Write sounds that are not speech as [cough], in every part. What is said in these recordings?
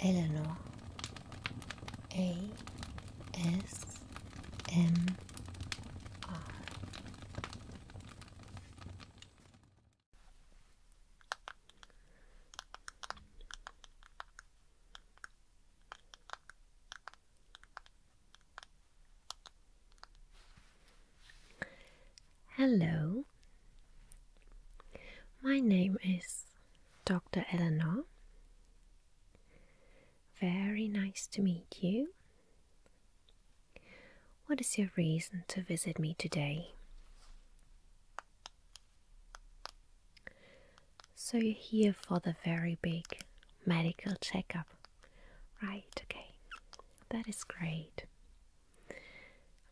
Eleanor A S M R Hello. My name is Dr. Eleanor. Very nice to meet you. What is your reason to visit me today? So you're here for the very big medical checkup. Right, okay. That is great.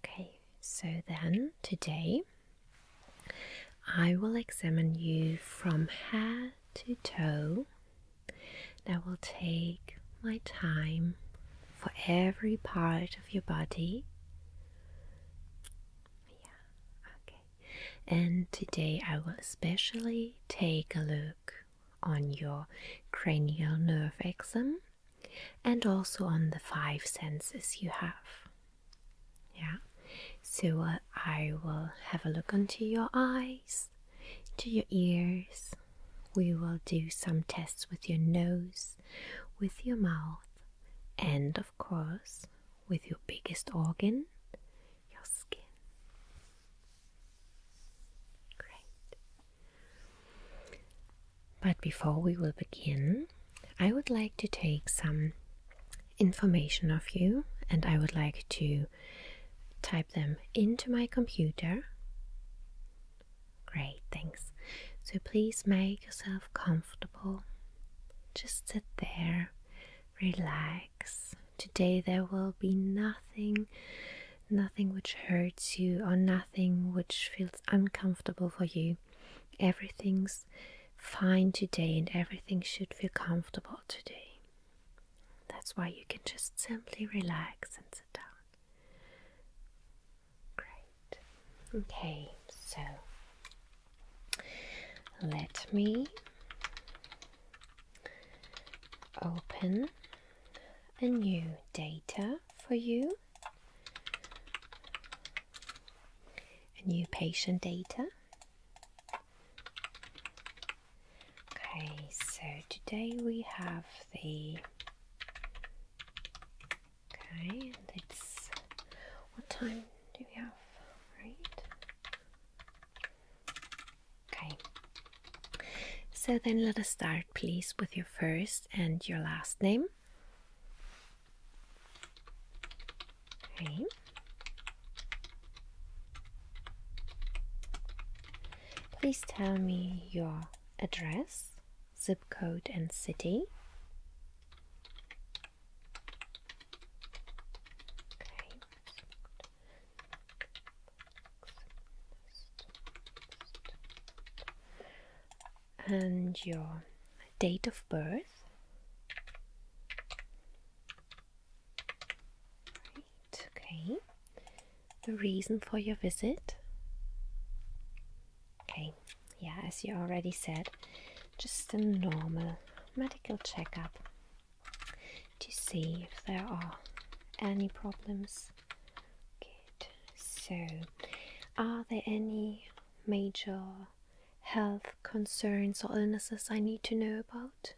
Okay, so then today I will examine you from head to toe. That will take my time for every part of your body. Yeah, okay. And today I will especially take a look on your cranial nerve exam and also on the five senses you have. Yeah, so uh, I will have a look onto your eyes, to your ears. We will do some tests with your nose, with your mouth, and of course, with your biggest organ, your skin. Great. But before we will begin, I would like to take some information of you and I would like to type them into my computer. Great, thanks. So please make yourself comfortable. Just sit there, relax. Today there will be nothing, nothing which hurts you or nothing which feels uncomfortable for you. Everything's fine today and everything should feel comfortable today. That's why you can just simply relax and sit down. Great. Okay, so let me open a new data for you. A new patient data. Okay, so today we have the okay, and it's what time do we have? Right. Okay. So then let us start please with your first and your last name. Please tell me your address, zip code, and city and your date of birth. okay. The reason for your visit. Okay, yeah, as you already said, just a normal medical checkup to see if there are any problems. So, are there any major health concerns or illnesses I need to know about?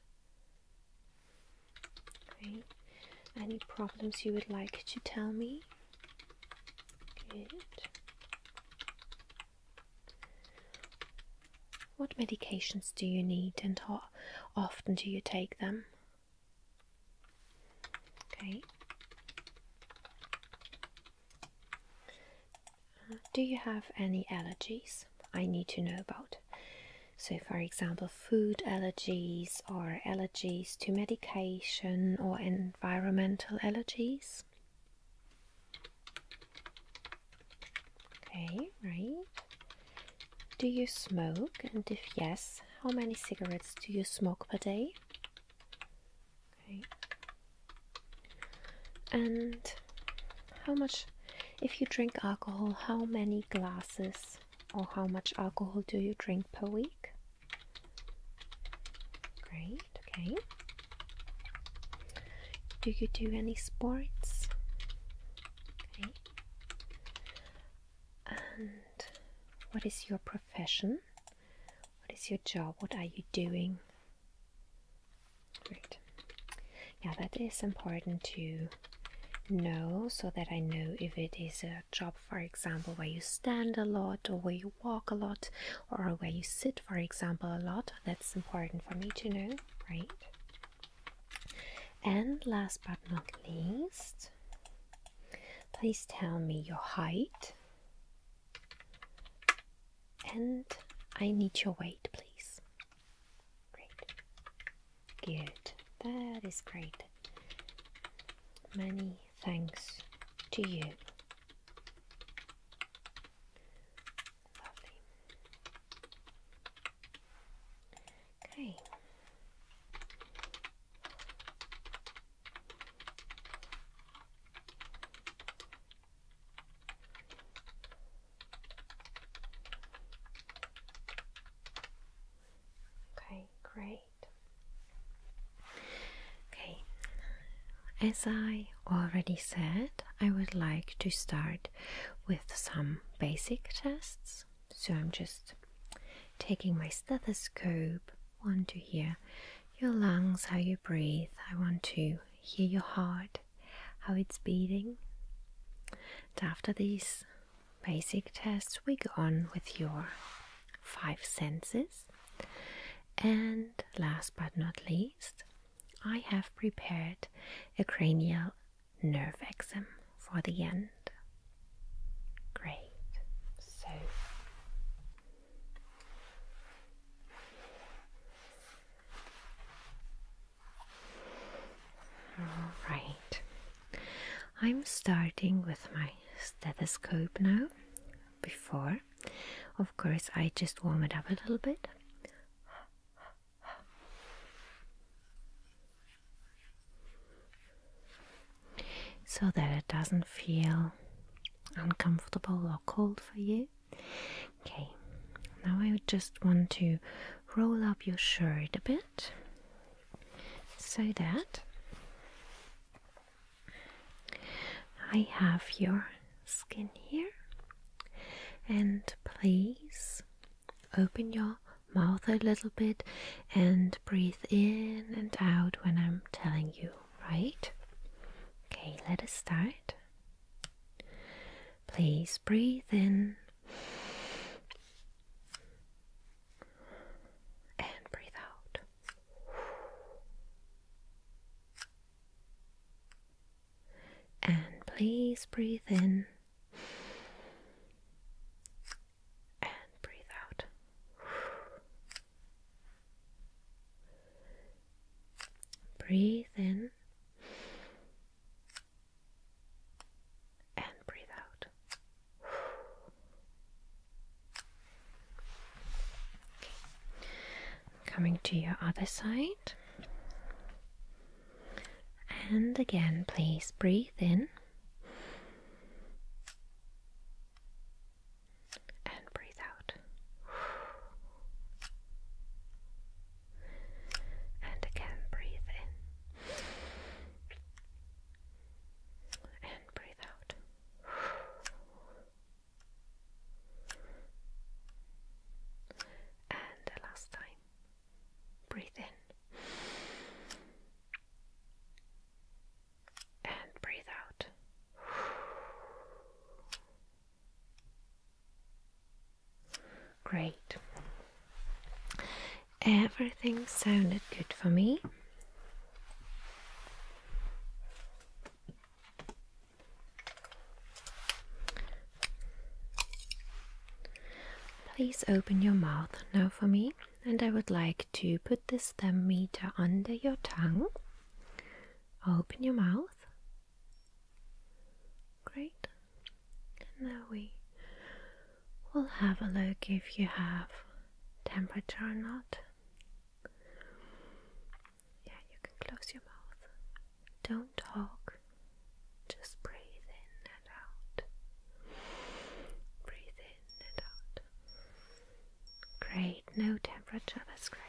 Any problems you would like to tell me? What medications do you need and how often do you take them? Okay. Uh, do you have any allergies I need to know about? So, for example, food allergies or allergies to medication or environmental allergies? Okay, right. Do you smoke? And if yes, how many cigarettes do you smoke per day? Okay. And how much, if you drink alcohol, how many glasses or how much alcohol do you drink per week? Great, okay. Do you do any sports? Okay. And what is your profession? What is your job? What are you doing? Great. Yeah, that is important to know so that I know if it is a job, for example, where you stand a lot or where you walk a lot or where you sit, for example, a lot. That's important for me to know, right? And last but not least, please tell me your height and I need your weight, please. Great. Good. That is great. Many thanks to you. Lovely. Okay. Okay, great. Okay, as I already said, I would like to start with some basic tests. So I'm just taking my stethoscope want to hear your lungs, how you breathe. I want to hear your heart, how it's beating. after these basic tests, we go on with your five senses. And last but not least, I have prepared a cranial nerve exam for the end. Great. So all right. I'm starting with my stethoscope now. Before, of course, I just warm it up a little bit so that it doesn't feel uncomfortable or cold for you. Okay, now I just want to roll up your shirt a bit so that I have your skin here. And please open your mouth a little bit and breathe in and out when I'm telling you right? Okay, let us start. Please breathe in and breathe out. And please breathe in and breathe out. Breathe in and breathe out. Coming to your other side. And again, please breathe in and breathe out. And again, breathe in and breathe out. And the last time, breathe in and breathe out. Great. Everything sounded good for me. Please open your mouth now for me and I would like to put this thermometer under your tongue. Open your mouth. Great. And now we will have a look if you have temperature or not. Yeah, you can close your mouth. Don't talk. Just breathe in and out. Breathe in and out. Great, no temperature, that's great.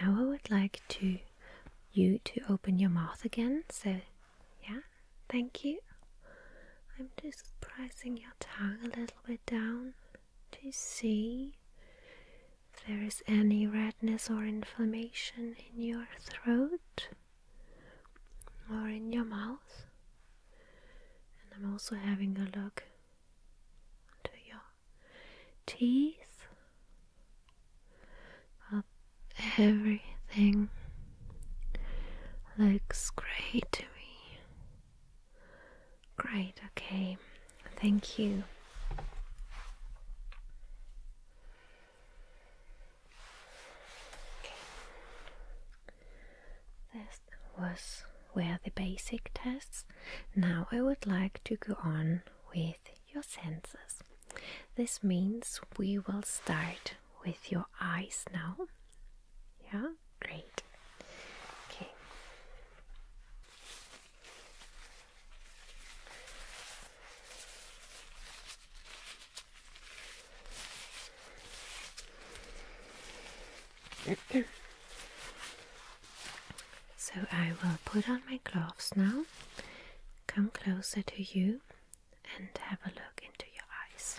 Now I would like to you to open your mouth again. So, yeah, thank you. I'm just pressing your tongue a little bit down to see if there is any redness or inflammation in your throat or in your mouth. And I'm also having a look into your teeth. everything looks great to me. Great, okay, thank you. Okay. This was were the basic tests. Now I would like to go on with your senses. This means we will start with your eyes now. Yeah? Great. Okay. so I will put on my gloves now, come closer to you, and have a look into your eyes.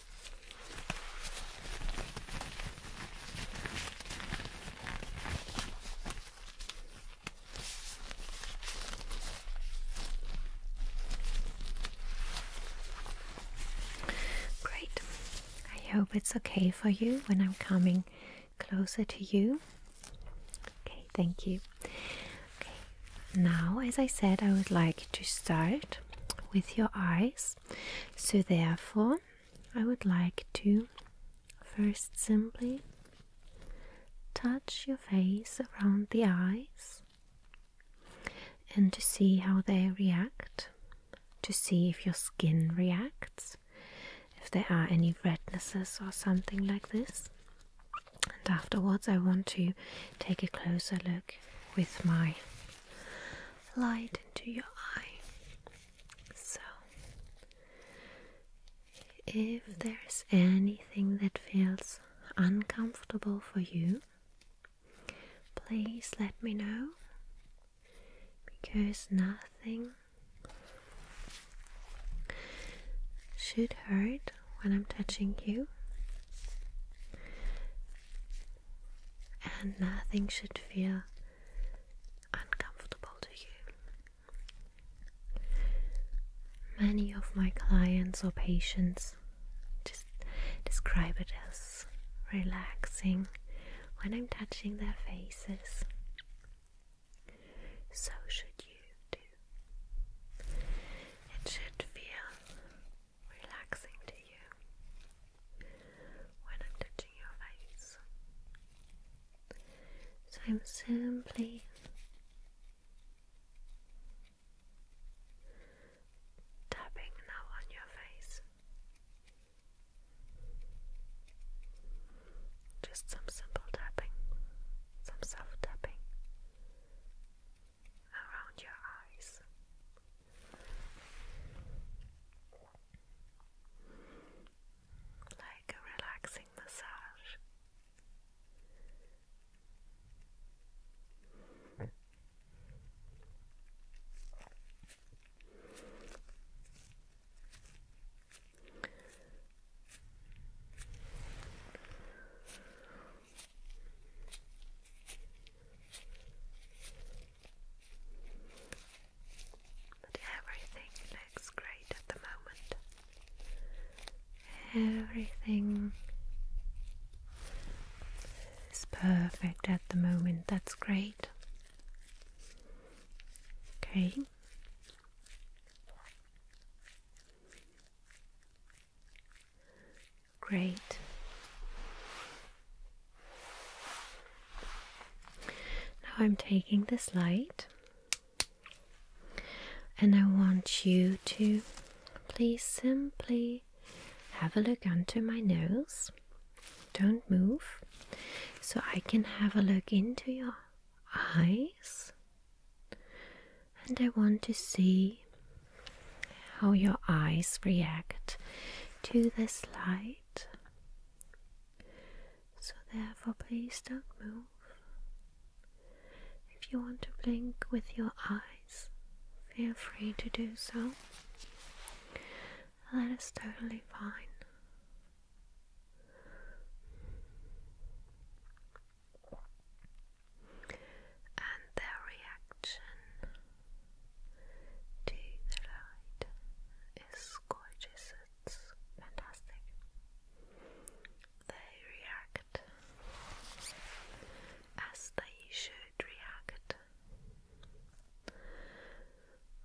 Great. I hope it's okay for you when I'm coming closer to you. Okay, thank you. Okay, now, as I said, I would like to start with your eyes. So therefore, I would like to first simply touch your face around the eyes and to see how they react, to see if your skin reacts, if there are any rednesses or something like this. And afterwards, I want to take a closer look with my light into your eye. So, if there's anything that feels uncomfortable for you, please let me know because nothing should hurt when I'm touching you and nothing should feel uncomfortable to you. Many of my clients or patients just describe it as relaxing when I'm touching their faces. So should you do. It should feel relaxing to you when I'm touching your face. So I'm simply tapping now on your face. Just some simple tapping, some soft tapping around your eyes, like a relaxing massage. But everything looks great at the moment. Everything is perfect at the moment. That's great. Okay. Great. Now I'm taking this light and I want you to please simply have a look under my nose. Don't move so I can have a look into your eyes. And I want to see how your eyes react to this light. So, therefore, please don't move. If you want to blink with your eyes, feel free to do so. That is totally fine. And their reaction to the right is gorgeous, it's fantastic. They react as they should react.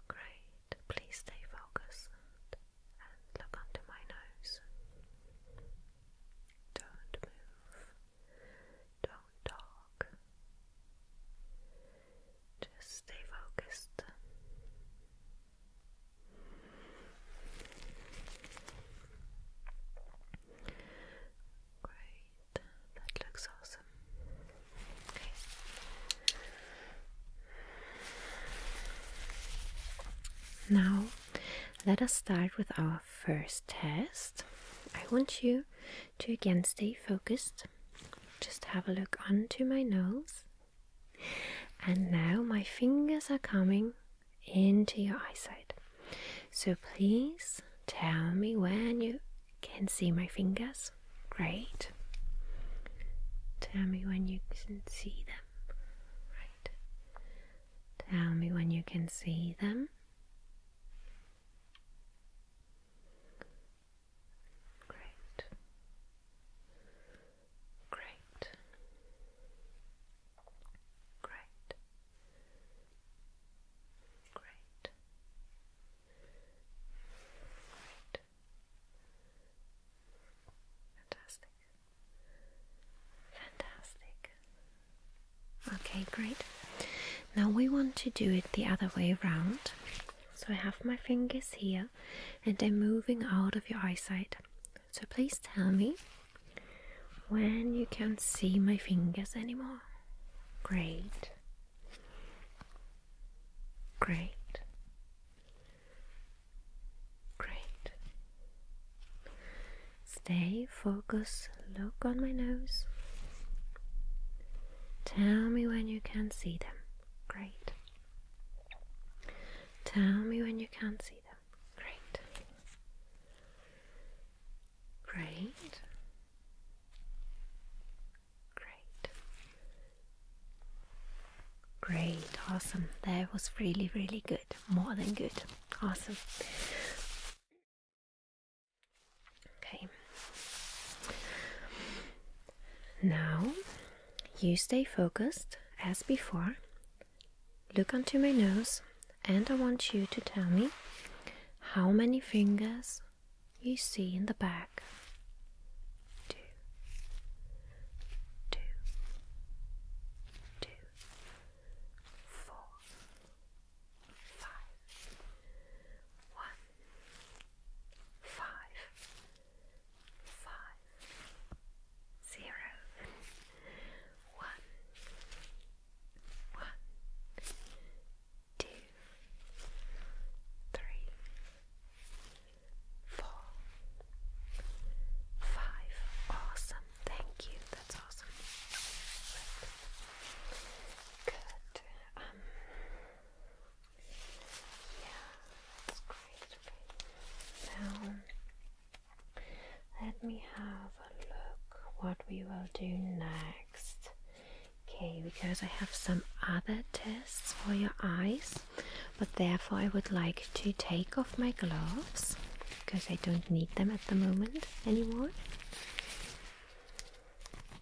Great, please stay focused and look onto my nose. Don't move. Don't talk. Just stay focused. Great. That looks awesome. Okay. Now, let us start with our first test. I want you to again stay focused, just have a look onto my nose. And now my fingers are coming into your eyesight. So please tell me when you can see my fingers. Great. Tell me when you can see them. Right. Tell me when you can see them. Great. Great. Great. Great. Great. Fantastic. Fantastic. Okay, great. Now we want to do it the other way around. So I have my fingers here and they're moving out of your eyesight. So please tell me when you can't see my fingers anymore. Great. Great. Great. Stay focused look on my nose. Tell me when you can see them. Great. Tell me when you can't see them. Great. Great. Great. Great. Awesome. That was really, really good. More than good. Awesome. Okay. Now you stay focused as before. Look onto my nose, and I want you to tell me how many fingers you see in the back. Two, two, two, four, five, one, five, five, zero, one, one, two, three, four, five. Awesome, thank you. That's awesome. Good yeah, that's great. Now, let me have a look what we will do next. Okay, because I have some other tests for your eyes, but therefore I would like to take off my gloves because I don't need them at the moment anymore.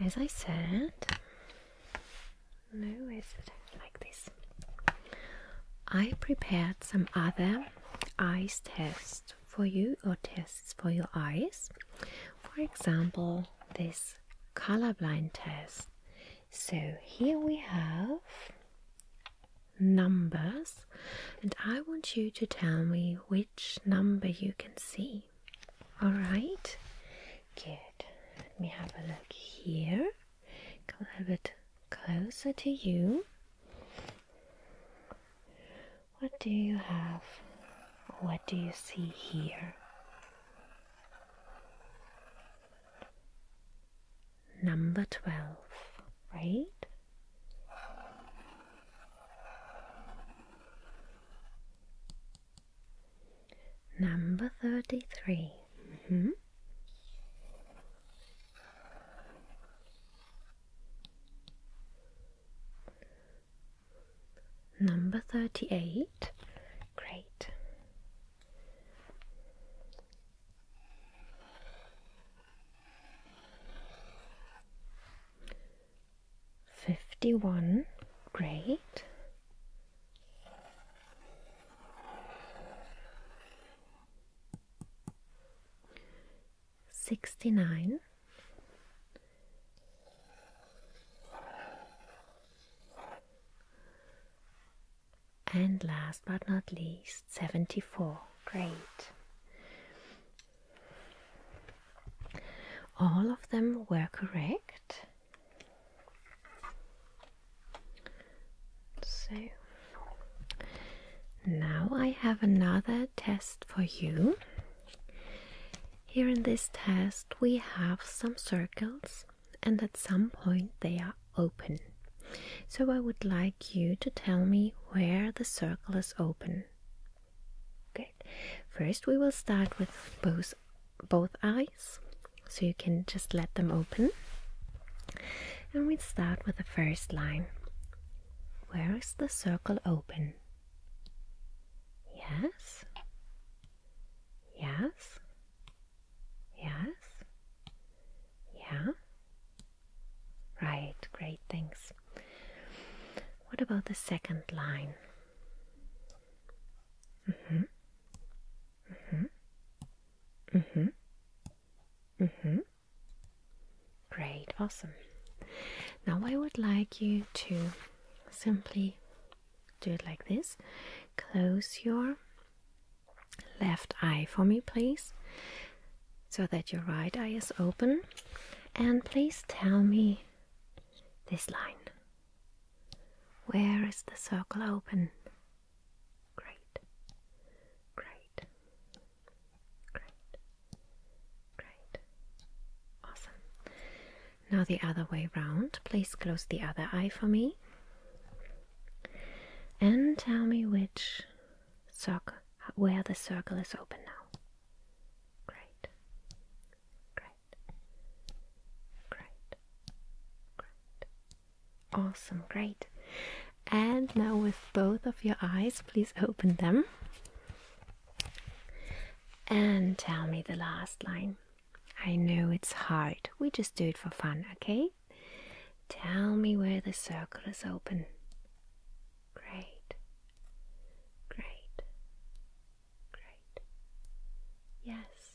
As I said, no, is it like this? I prepared some other eyes tests for you or tests for your eyes. For example, this colorblind test. So here we have numbers, and I want you to tell me which number you can see. All right, good. Let me have a look here. Come a little bit closer to you. What do you have? What do you see here? Number 12, right? Number 33. Mm -hmm. Number 38. Great. Fifty one, great. Sixty nine. And last but not least, 74. Great. All of them were correct. So now I have another test for you. Here in this test, we have some circles and at some point they are open. So I would like you to tell me where the circle is open. Good. First we will start with both both eyes. So you can just let them open. And we start with the first line. Where is the circle open? Yes. Yes. Yes? Yeah? Right, great, thanks. What about the second line? Mm-hmm. Mm-hmm. Mm-hmm. Mm-hmm. Great, awesome. Now I would like you to simply do it like this. Close your left eye for me, please, so that your right eye is open. And please tell me this line. Where is the circle open? Great, great, great, great. Awesome. Now the other way round. Please close the other eye for me and tell me which where the circle is open now. Great. Great. Great. Great. Awesome, great. And now with both of your eyes, please open them. And tell me the last line. I know it's hard. We just do it for fun, okay? Tell me where the circle is open. Great. Great. Great. Yes.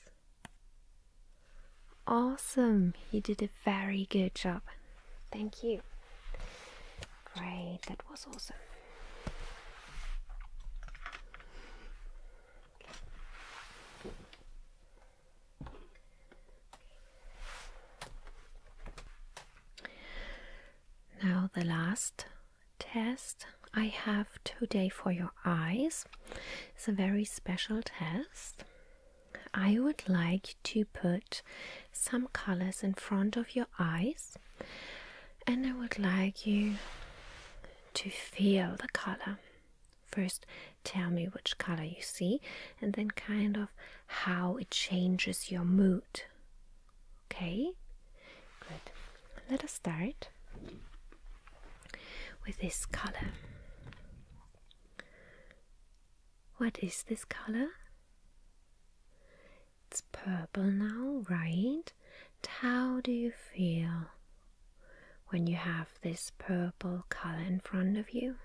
Awesome. You did a very good job. Thank you. Great. That was awesome. Now, the last test I have today for your eyes is a very special test. I would like to put some colors in front of your eyes, and I would like you to feel the color. First, tell me which color you see, and then kind of how it changes your mood. Okay? Good. Let us start with this color. What is this color? It's purple now, right? how do you feel when you have this purple color in front of you.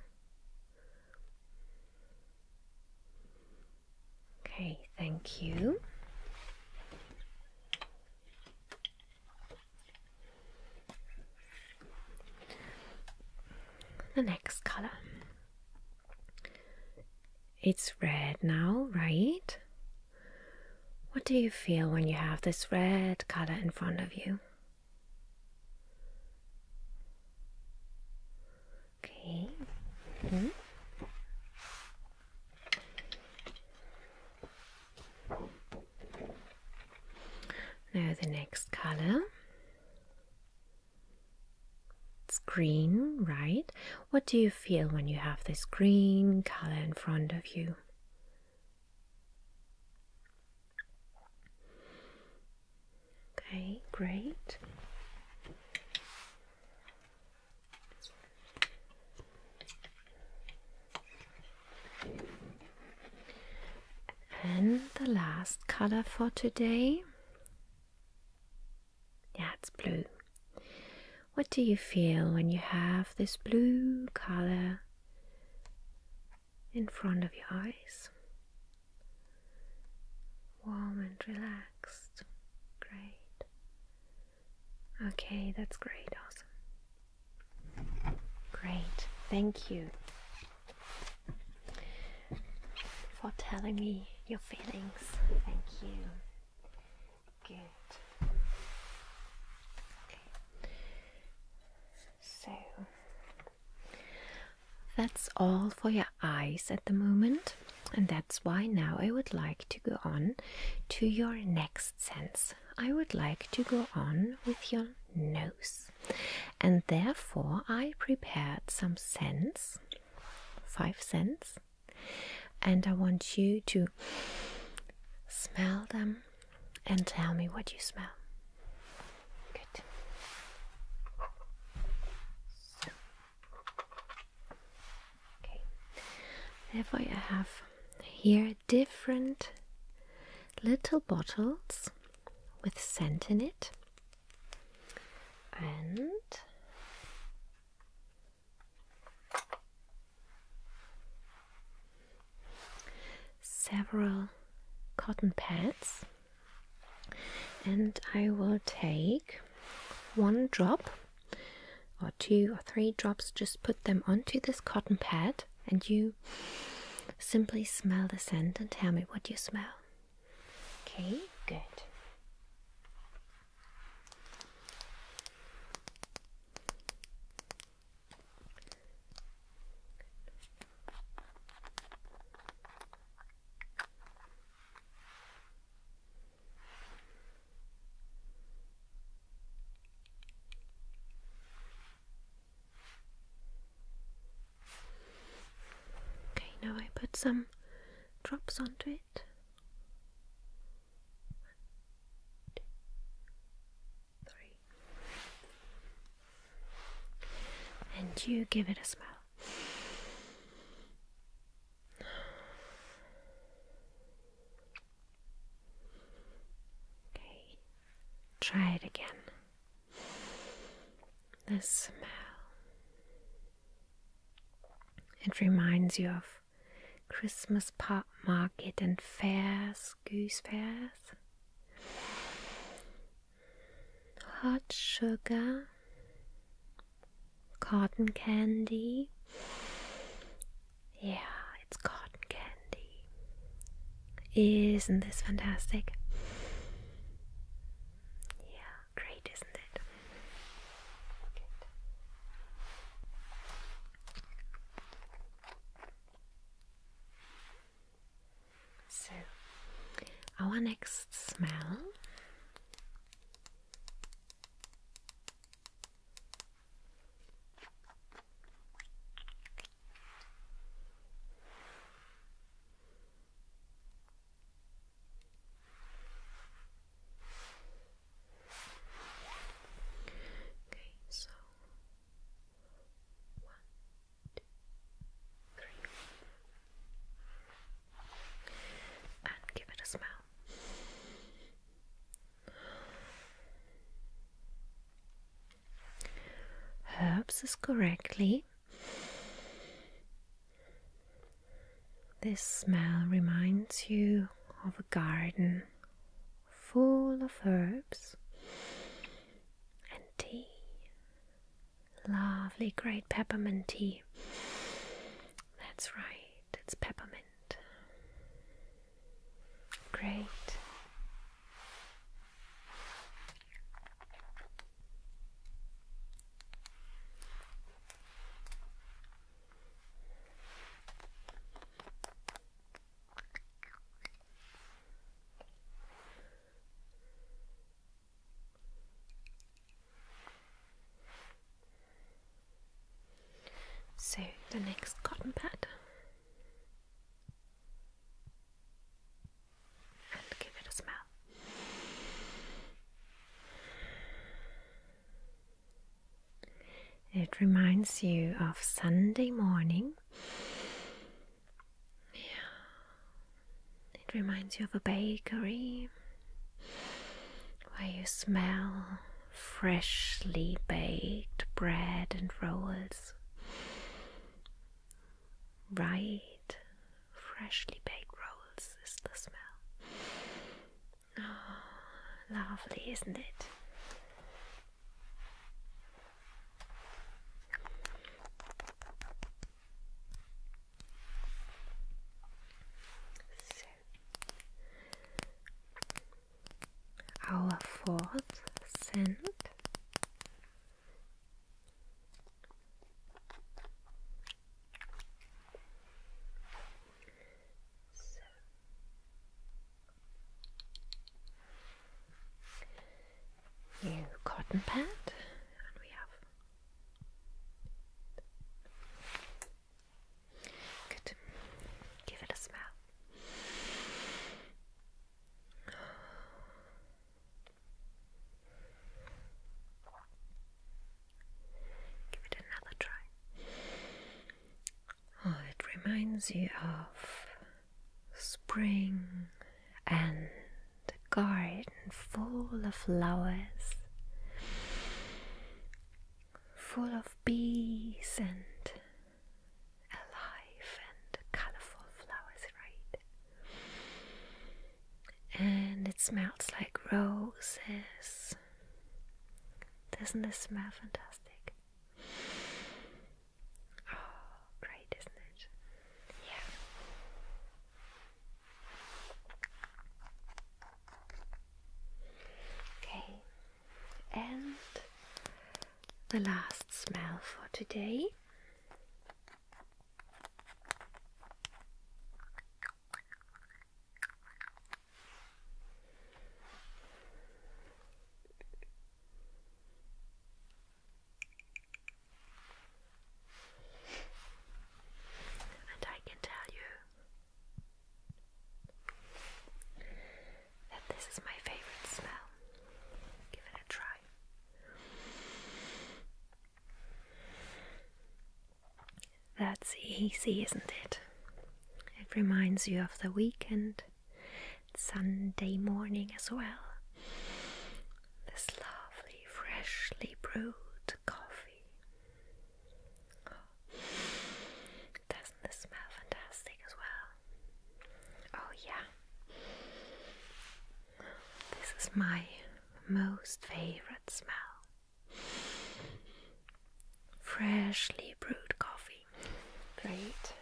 Okay, thank you. The next color. It's red now, right? What do you feel when you have this red color in front of you? Okay. Hmm. Now the next color. It's green, right? What do you feel when you have this green color in front of you? Okay, great. And the last color for today. Yeah, it's blue. What do you feel when you have this blue color in front of your eyes. Warm and relaxed. Great. Okay, that's great. Awesome. Great. Thank you for telling me your feelings. Thank you. Good. So that's all for your eyes at the moment, and that's why now I would like to go on to your next sense. I would like to go on with your nose, and therefore I prepared some scents, five scents, and I want you to smell them and tell me what you smell. Good. Okay. Therefore, I have here different little bottles with scent in it, and several cotton pads and I will take one drop or two or three drops just put them onto this cotton pad and you simply smell the scent and tell me what you smell okay good Okay, now I put some drops onto it. And you give it a smell. Okay, try it again. The smell. It reminds you of Christmas pop market and fairs fairs, hot sugar, cotton candy. Yeah, it's cotton candy. Isn't this fantastic? Yeah, great, isn't it? So, our next smell Okay, so one, two, three. And give it a smell. Herbs is correctly. This smell reminds you of a garden full of herbs and tea. Lovely, great peppermint tea. That's right, it's peppermint. Great. So the next cotton pad and give it a smell. It reminds you of Sunday morning. Yeah. It reminds you of a bakery where you smell freshly baked bread and rolls. Right, freshly baked rolls is the smell. Oh, lovely, isn't it? So, our fourth scent new cotton pad, and we have good. Give it a smell. Give it another try. Oh, it reminds you of spring and a garden full of flowers, full of bees and alive and colorful flowers, right? And it smells like roses. Doesn't this smell fantastic? Oh, [gasps] great, isn't it? Yeah. Okay, and the last smell for today. And I can tell you that this is my favorite smell. Give it a try. That's easy, isn't it? It reminds you of the weekend Sunday morning as well. This lovely, freshly brewed coffee. Oh, doesn't this smell fantastic as well? Oh, yeah. This is my most favorite smell. Freshly brewed coffee. Great.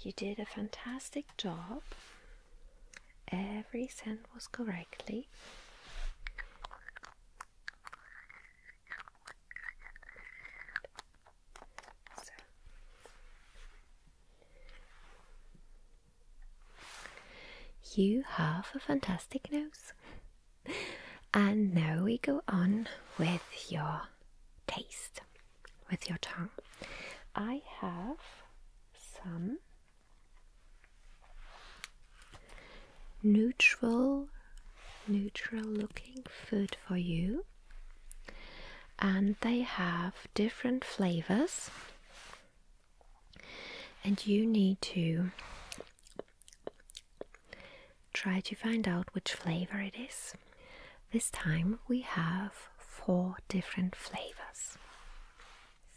You did a fantastic job. Every cent was correctly. You have a fantastic nose and now we go on with your taste, with your tongue. I have some neutral, neutral looking food for you, and they have different flavors, and you need to Try to find out which flavor it is. This time we have four different flavors.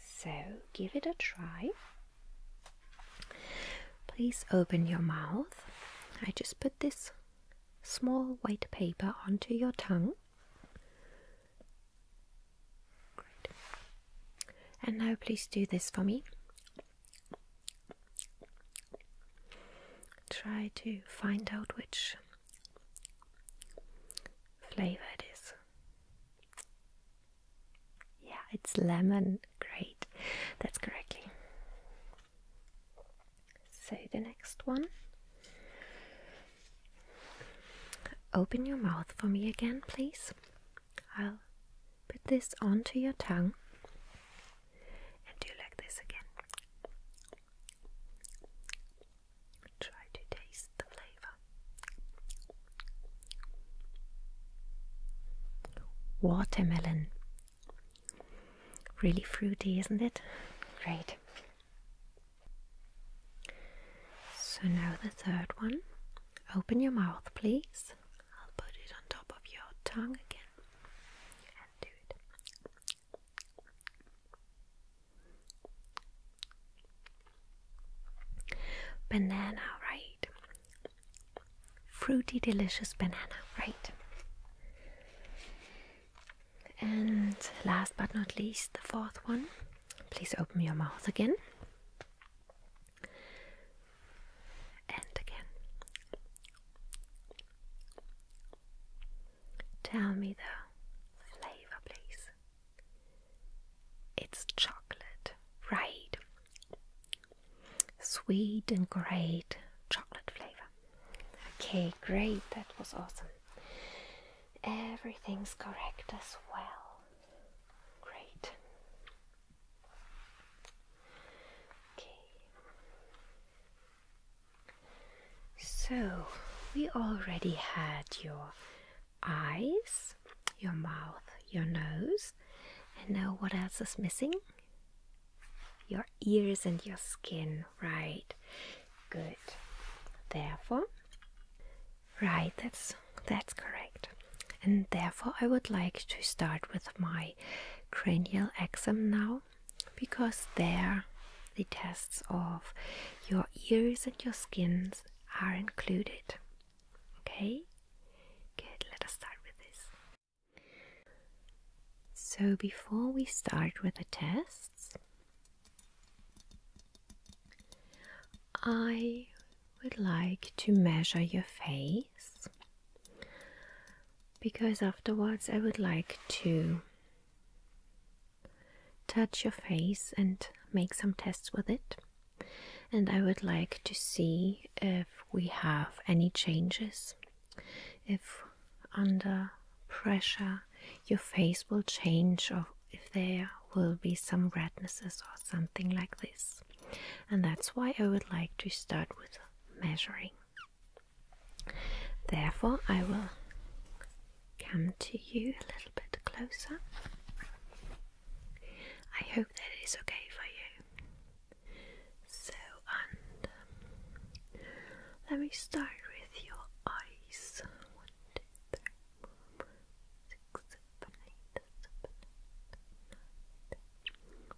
So give it a try. Please open your mouth. I just put this small white paper onto your tongue. And now please do this for me. Try to find out which flavor it is. Yeah, it's lemon. Great, that's correctly. So the next one. Open your mouth for me again, please. I'll Put this onto your tongue and do like this again. Try to taste the flavor. Watermelon. Really fruity, isn't it? Great. So now the third one. Open your mouth, please. I'll put it on top of your tongue again do it. Banana, right? Fruity, delicious banana, right? And last but not least, the fourth one. Please open your mouth again. And again. Tell me the flavor, please. It's chocolate, right? Sweet and great chocolate flavor. Okay, great, that was awesome. Everything's correct as well. Great. Okay. So, we already had your eyes, your mouth, your nose, and now what else is missing? Your ears and your skin, right? Good. Therefore, right, that's that's correct. And therefore, I would like to start with my cranial exam now because there the tests of your ears and your skins are included. Okay? Good, let us start with this. So, before we start with the tests, I would like to measure your face because afterwards I would like to touch your face and make some tests with it. And I would like to see if we have any changes, if under pressure your face will change, or if there will be some rednesses or something like this. And that's why I would like to start with measuring. Therefore, I will come to you a little bit closer. I hope that is okay for you. So, let me start with your eyes. One, two, three, four, five, six, seven, eight, seven, eight, nine, ten,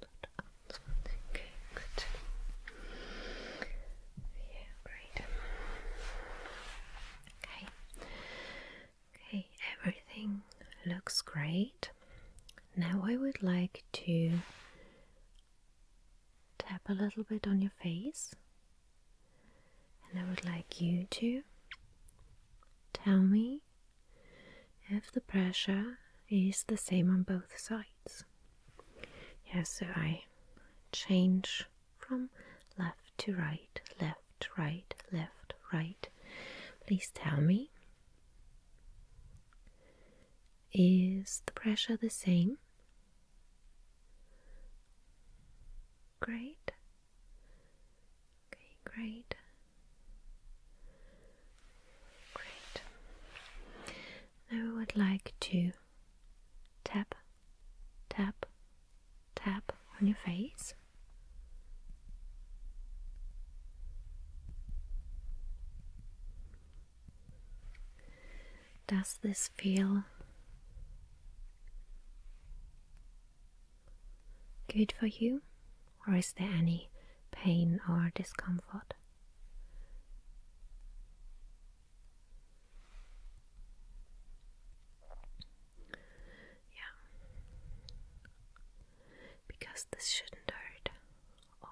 good. great. Okay. Okay, everything looks great. Now I would like to tap a little bit on your face, and I would like you to tell me if the pressure is the same on both sides. yes. so I change from left to right, left, right, left, right. Please tell me is the pressure the same? Great. Okay, great. Great. Now we would like to tap, tap, tap on your face. Does this feel good for you? or is there any pain or discomfort? Yeah. Because this shouldn't hurt or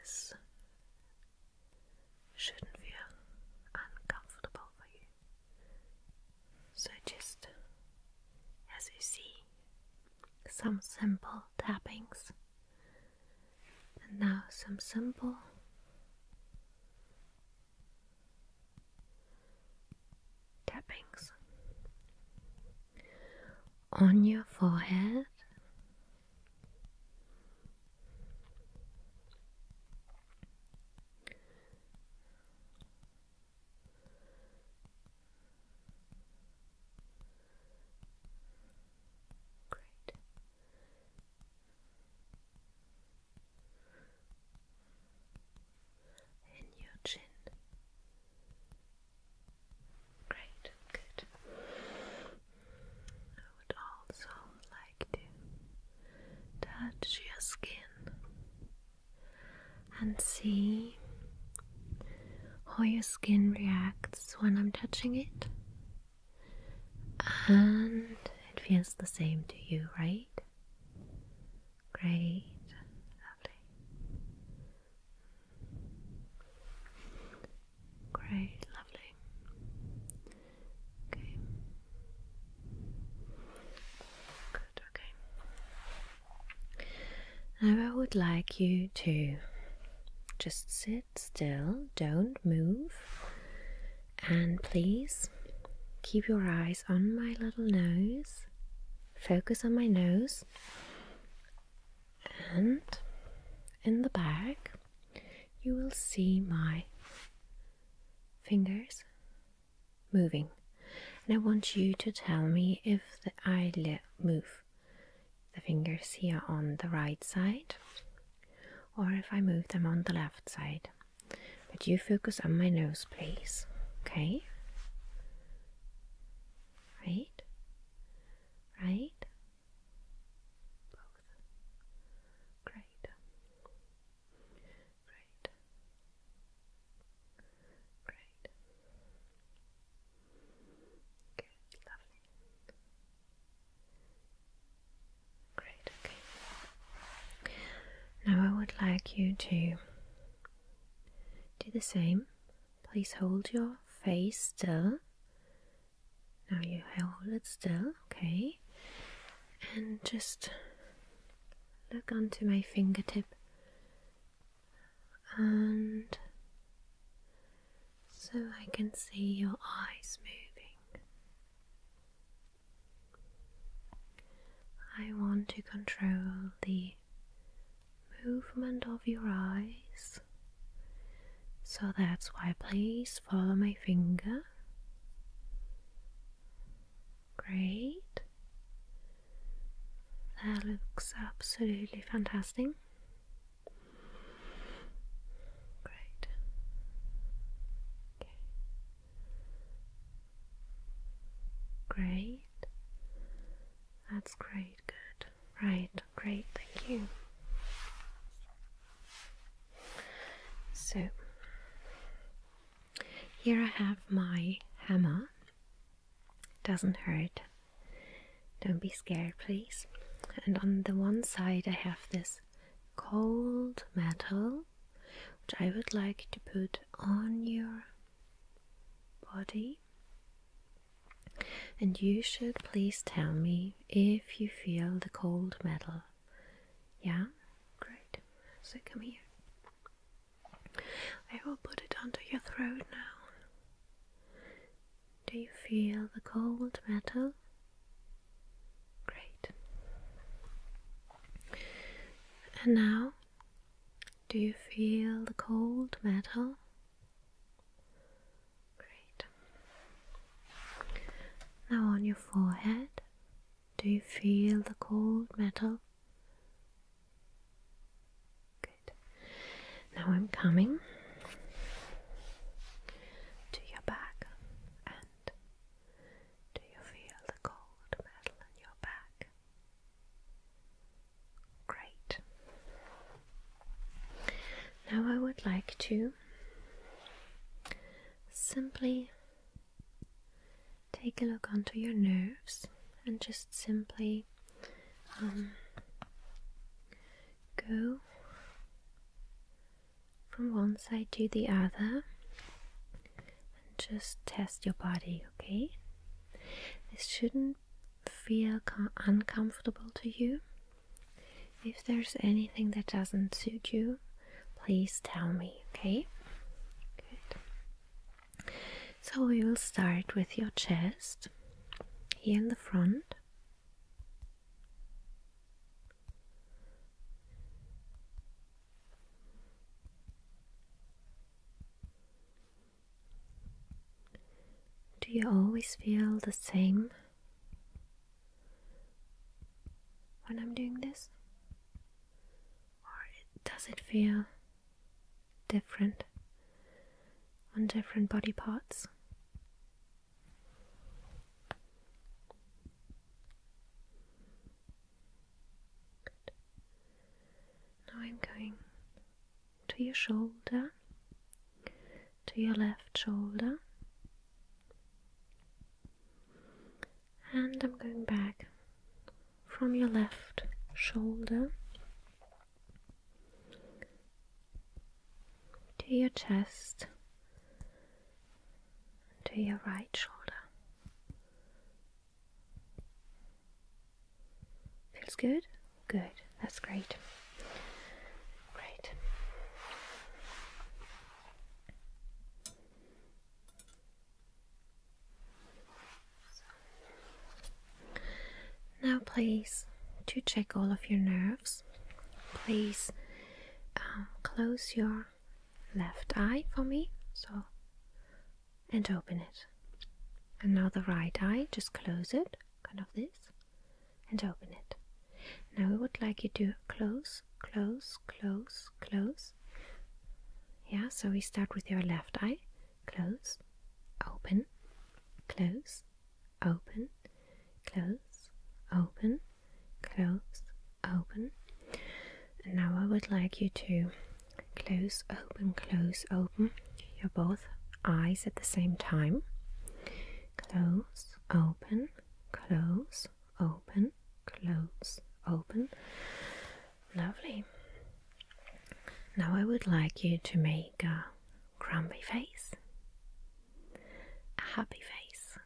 this shouldn't feel uncomfortable for you. So just as you see, some simple tappings, and now some simple tappings on your forehead. Great. In your chin. Great, good. I would also like to touch your skin and see how your skin reacts when I'm touching it. And it feels the same to you, right? Great, lovely. Great, lovely. Okay okay. Now I would like you to just sit still, don't move, and please keep your eyes on my little nose. Focus on my nose and in the back you will see my fingers moving, and I want you to tell me if the eyelid move. The fingers here on the right side, or if I move them on the left side. But you focus on my nose, please. Okay? Right? Right? Both. Great. Great. Great. Good, lovely. Great, okay. Now I would like you to do the same. Please hold your face still. Now you hold it still, okay? And just look onto my fingertip and so I can see your eyes moving. I want to control the movement of your eyes. So that's why please follow my finger. Great. That looks absolutely fantastic. Great. Okay. Great. That's great, good. Right, great, thank you. So here I have my hammer. Doesn't hurt. Don't be scared, please. And on the one side, I have this cold metal which I would like to put on your body. And you should please tell me if you feel the cold metal yeah? Great. So come here. I will put it under your throat now. Do you feel the cold metal? Great. And now, do you feel the cold metal? Great. Now on your forehead. Do you feel the cold metal? Good. Now I'm coming to your back and do you feel the cold metal in your back? Great. Now I would like to simply take a look onto your nerves and just simply um, go from one side to the other and just test your body, okay? This shouldn't feel uncomfortable to you. If there's anything that doesn't suit you, please tell me, okay? So we will start with your chest here in the front. Do you always feel the same when I'm doing this? or does it feel different on different body parts? Now I'm going to your shoulder, to your left shoulder, and I'm going back from your left shoulder to your chest, to your right shoulder. Feels good? Good, that's great. Great. Now, please, to check all of your nerves, please um, close your left eye for me. So, and open it. And now the right eye, just close it, kind of this, and open it. Now, we would like you to close close, close, close, Yeah, so we start with your left eye. Close, open, close, open, close, open, close, open. And now I would like you to close, open, close, open your both eyes at the same time. Close, open, close, open, close, open. Lovely. Now I would like you to make a grumpy face, a happy face.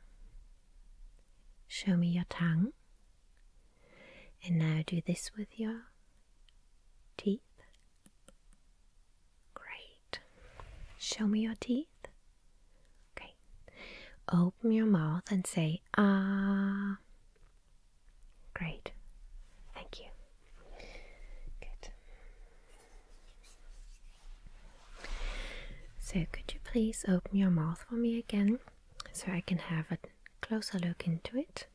Show me your tongue. And now do this with your teeth. Great. Show me your teeth. Okay, Open your mouth and say ah. Great. Thank you. Good. So, could you please open your mouth for me again so I can have a closer look into it?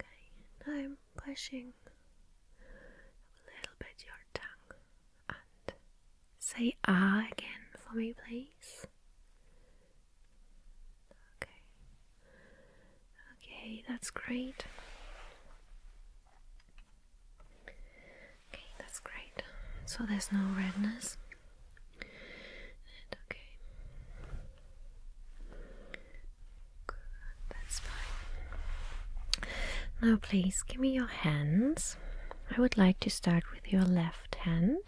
Okay, I'm pushing a little bit your tongue and Say ah again for me, please. Okay. Okay, that's great. Okay, that's great. So there's no redness. okay. that's fine. Now, please give me your hands. I would like to start with your left hand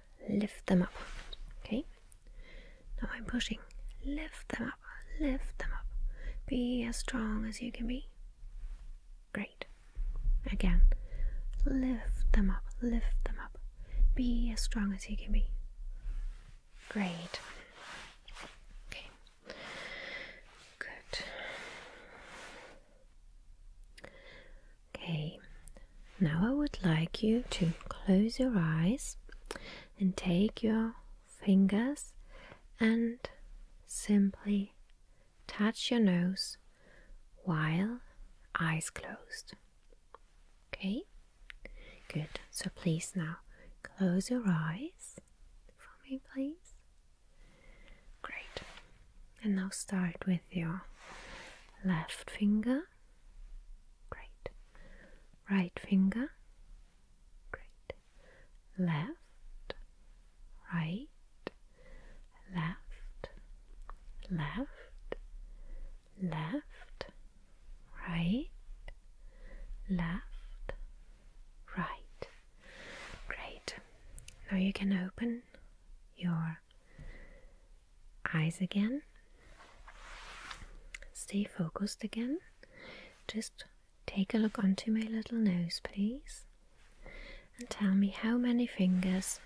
lift them up. Okay, now I'm pushing, lift them up, lift them up. Be as strong as you can be. Great. Again, lift them up, lift them up. Be as strong as you can be. Great. Okay, good. Okay, now I would like you to close your eyes and take your fingers and simply touch your nose while eyes closed. Okay, good. So please now close your eyes for me, please. Great. And now start with your left finger Great. Right finger. Great. Left. Right. Left. Left. Left. Right. Left. Right. Great. Now you can open your eyes again. Stay focused again. Just take a look onto my little nose, please, and tell me how many fingers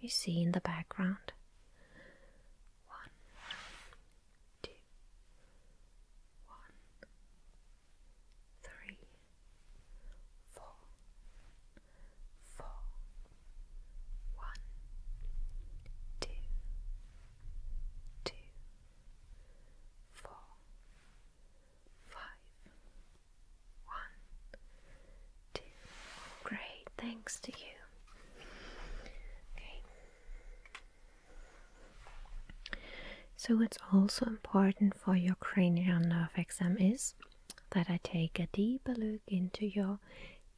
you see in the background. One, two, one, three, four, four, one, two, two, four, five, one, two. Great, thanks to you. Okay. So, what's also important for your cranial nerve exam is that I take a deeper look into your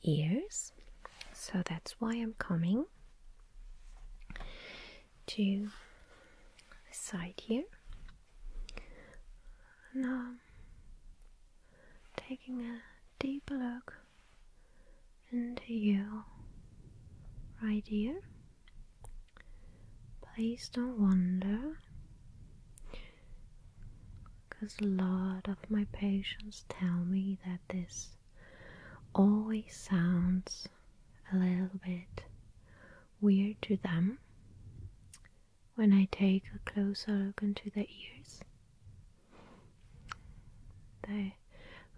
ears. So that's why I'm coming to the side here. Now, um, taking a deep look into you right here. Please don't wonder because a lot of my patients tell me that this always sounds a little bit weird to them when I take a closer look into the ears.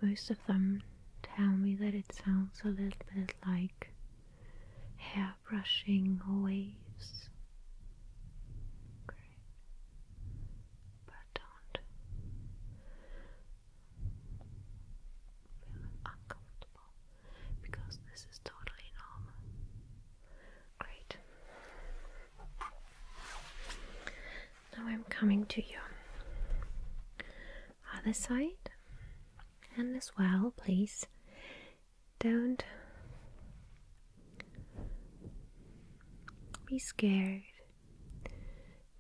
most of them tell me that it sounds a little bit like hair brushing waves but don't feel uncomfortable because this is totally normal. Great. Now I'm coming to your other side, and as well, please don't be scared.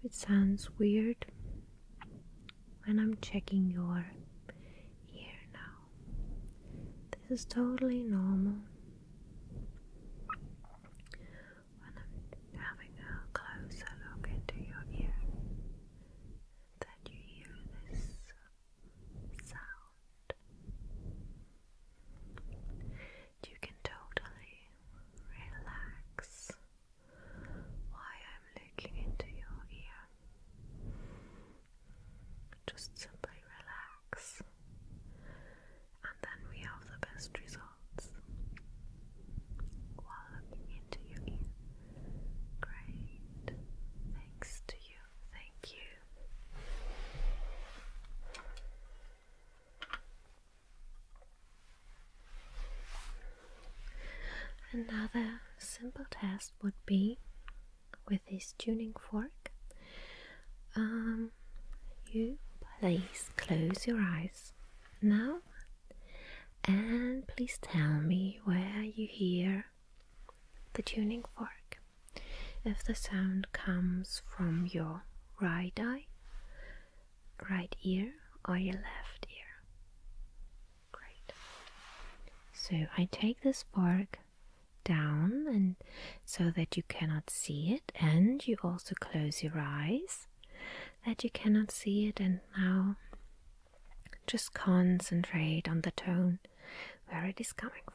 It sounds weird when I'm checking your ear now. This is totally normal. When I'm having a closer look into your ear, that you hear this sound. You can totally relax while I'm looking into your ear. Just simply relax, and then we have the best results while looking into your ear. Great. Thanks to you. Thank you. Another simple test would be with this tuning fork. Um, you please close your eyes now and please tell me where you hear the tuning fork. If the sound comes from your right eye, right ear, or your left ear. Great. So I take this spark down and so that you cannot see it and you also close your eyes that you cannot see it and now just concentrate on the tone where it is coming from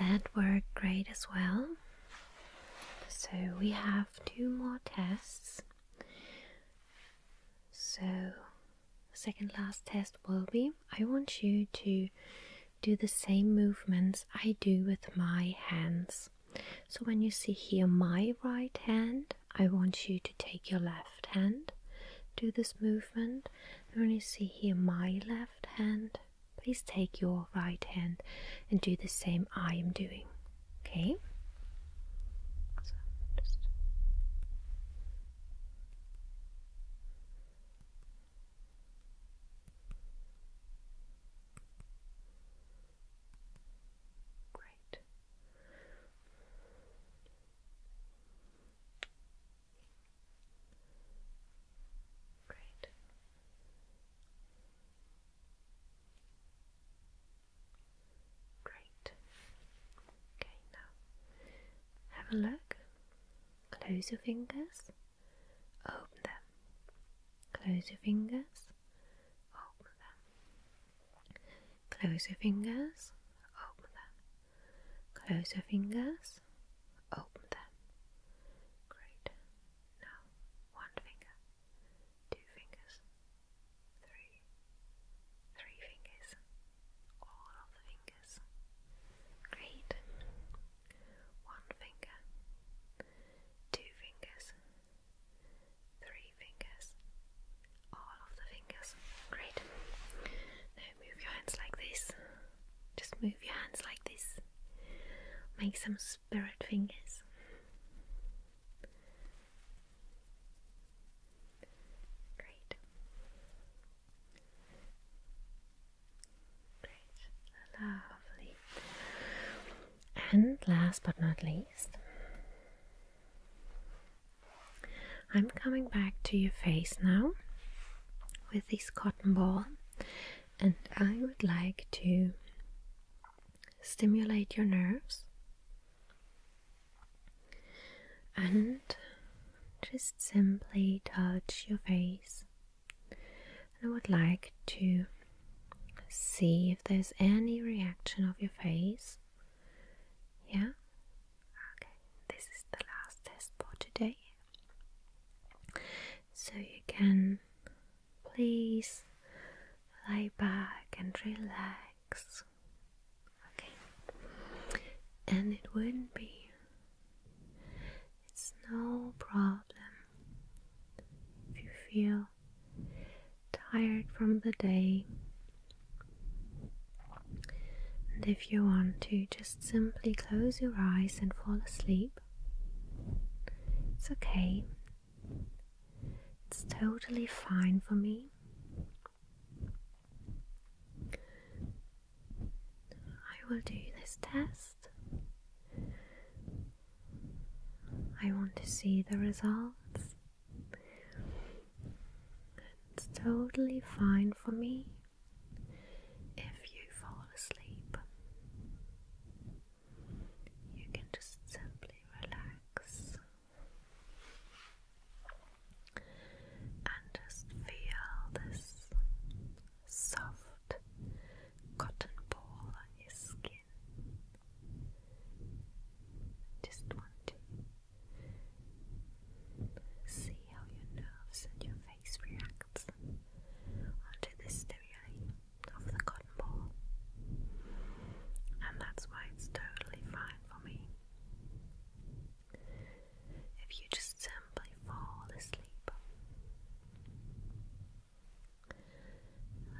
That worked great as well. So we have two more tests. So second last test will be I want you to do the same movements I do with my hands. So when you see here my right hand, I want you to take your left hand, do this movement. when you see here my left hand, please take your right hand and do the same I am doing. Okay? Great. Great. Great. Okay, now have a look Close your fingers, open them. Close your fingers, open them. Close your fingers, open them. Close your fingers, open them. Great. Now, one finger, two fingers, three, three fingers, all of the fingers. Great. One finger, two fingers, three fingers, all of the fingers. Great. Now move your hands like this. Just move your hands like this. Make some spirit fingers. Great. Great, lovely. And last but not least, I'm coming back to your face now with this cotton ball, and I would like to stimulate your nerves and just simply touch your face. I would like to see if there's any reaction of your face. Yeah? Okay, this is the last test for today. So you can please lie back and relax. Okay. And it wouldn't be it's no problem if you feel tired from the day. And if you want to, just simply close your eyes and fall asleep. It's okay. It's totally fine for me. I will do this test. I want to see the results. It's totally fine for me if you fall asleep. You can just simply relax and just feel this soft cotton ball on your skin. Just want to see how your nerves and your face reacts onto the stimuli of the cotton ball. And that's why it's totally fine for me if you just simply fall asleep.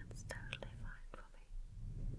That's totally fine for me.